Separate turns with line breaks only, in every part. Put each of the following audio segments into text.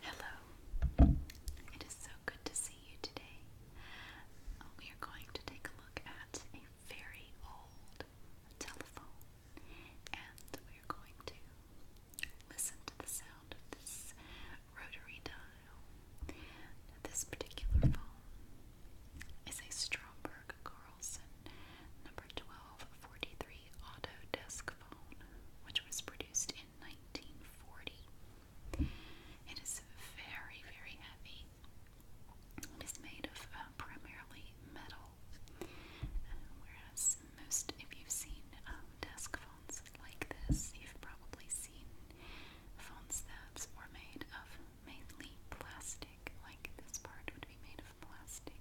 Hello. It is so good to see you today. Uh, we are going to take a look at a very old telephone and we are going to listen to the sound of this rotary dial. This particular phone is a Stromberg Carlson number 1243 Autodesk microphone, which was produced in 1940. It is very, very heavy. It is made of uh, primarily metal, uh, whereas most, if you've seen um, desk phones like this, you've probably seen phones that were made of mainly plastic, like this part would be made plastic.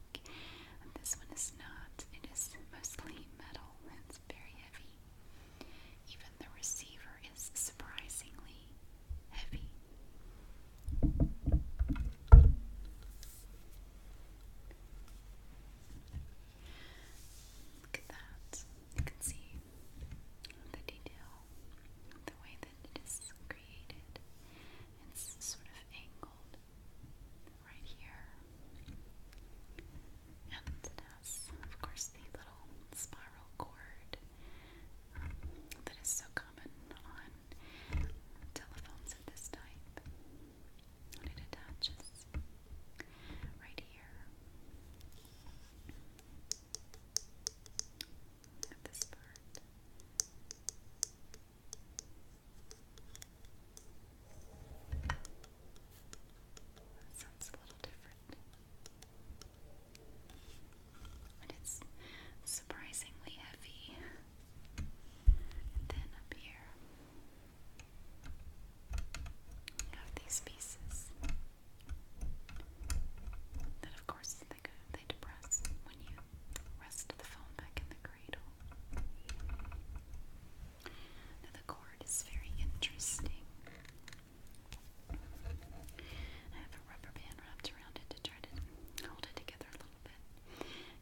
this one is not. It is mostly metal. It's very heavy. Even the receiver is surprisingly heavy. Look at that. You can see the detail, the way that it is created. It's sort of angled right here. And it has, of course, the little spiral
cord um, that is so common on telephones of this type. And it attaches right here at this part. That sounds a little different. But it's surprisingly heavy. And then up here, we have these pieces that, of course, they, go, they depress when you Rest of the phone back in the cradle. Now, the cord
is very interesting. I have a rubber band wrapped around it to try to hold it together a little bit.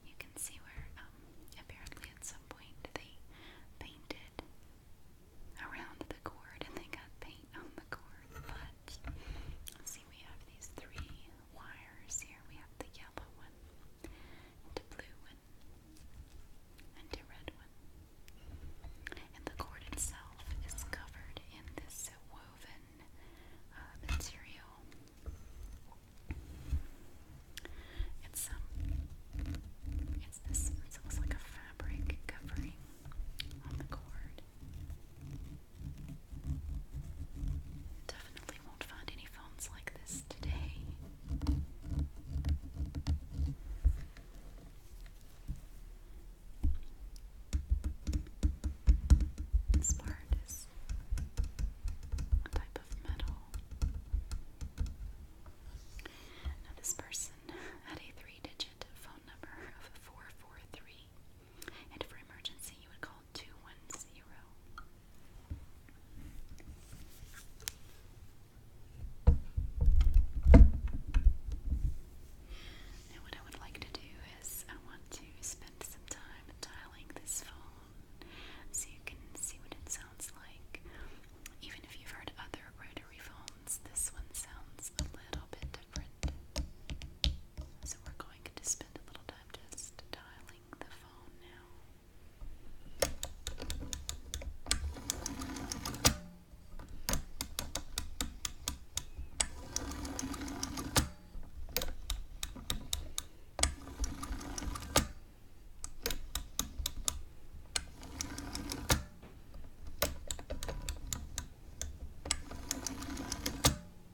You can see where, um, apparently, at some point they painted around the cord and they got paint on the cord. But, see, we have these three wires here. We have the yellow one, the blue one, and the red one. And the cord itself is covered in this woven uh, material.
It's um, it's this. It looks like a fabric covering the cord. Definitely won't find any phones like this today. Spart is a type of metal. Now, this person
had a three digit phone number of 443, and for emergency, you would call two one zero. Now, what I would like to do is, I want to spend some time dialing this phone so you can see what it sounds like. Even if you've heard other rotary phones, this one sounds a little bit different. So, we're going to spend a little time I'm just dialing the phone now.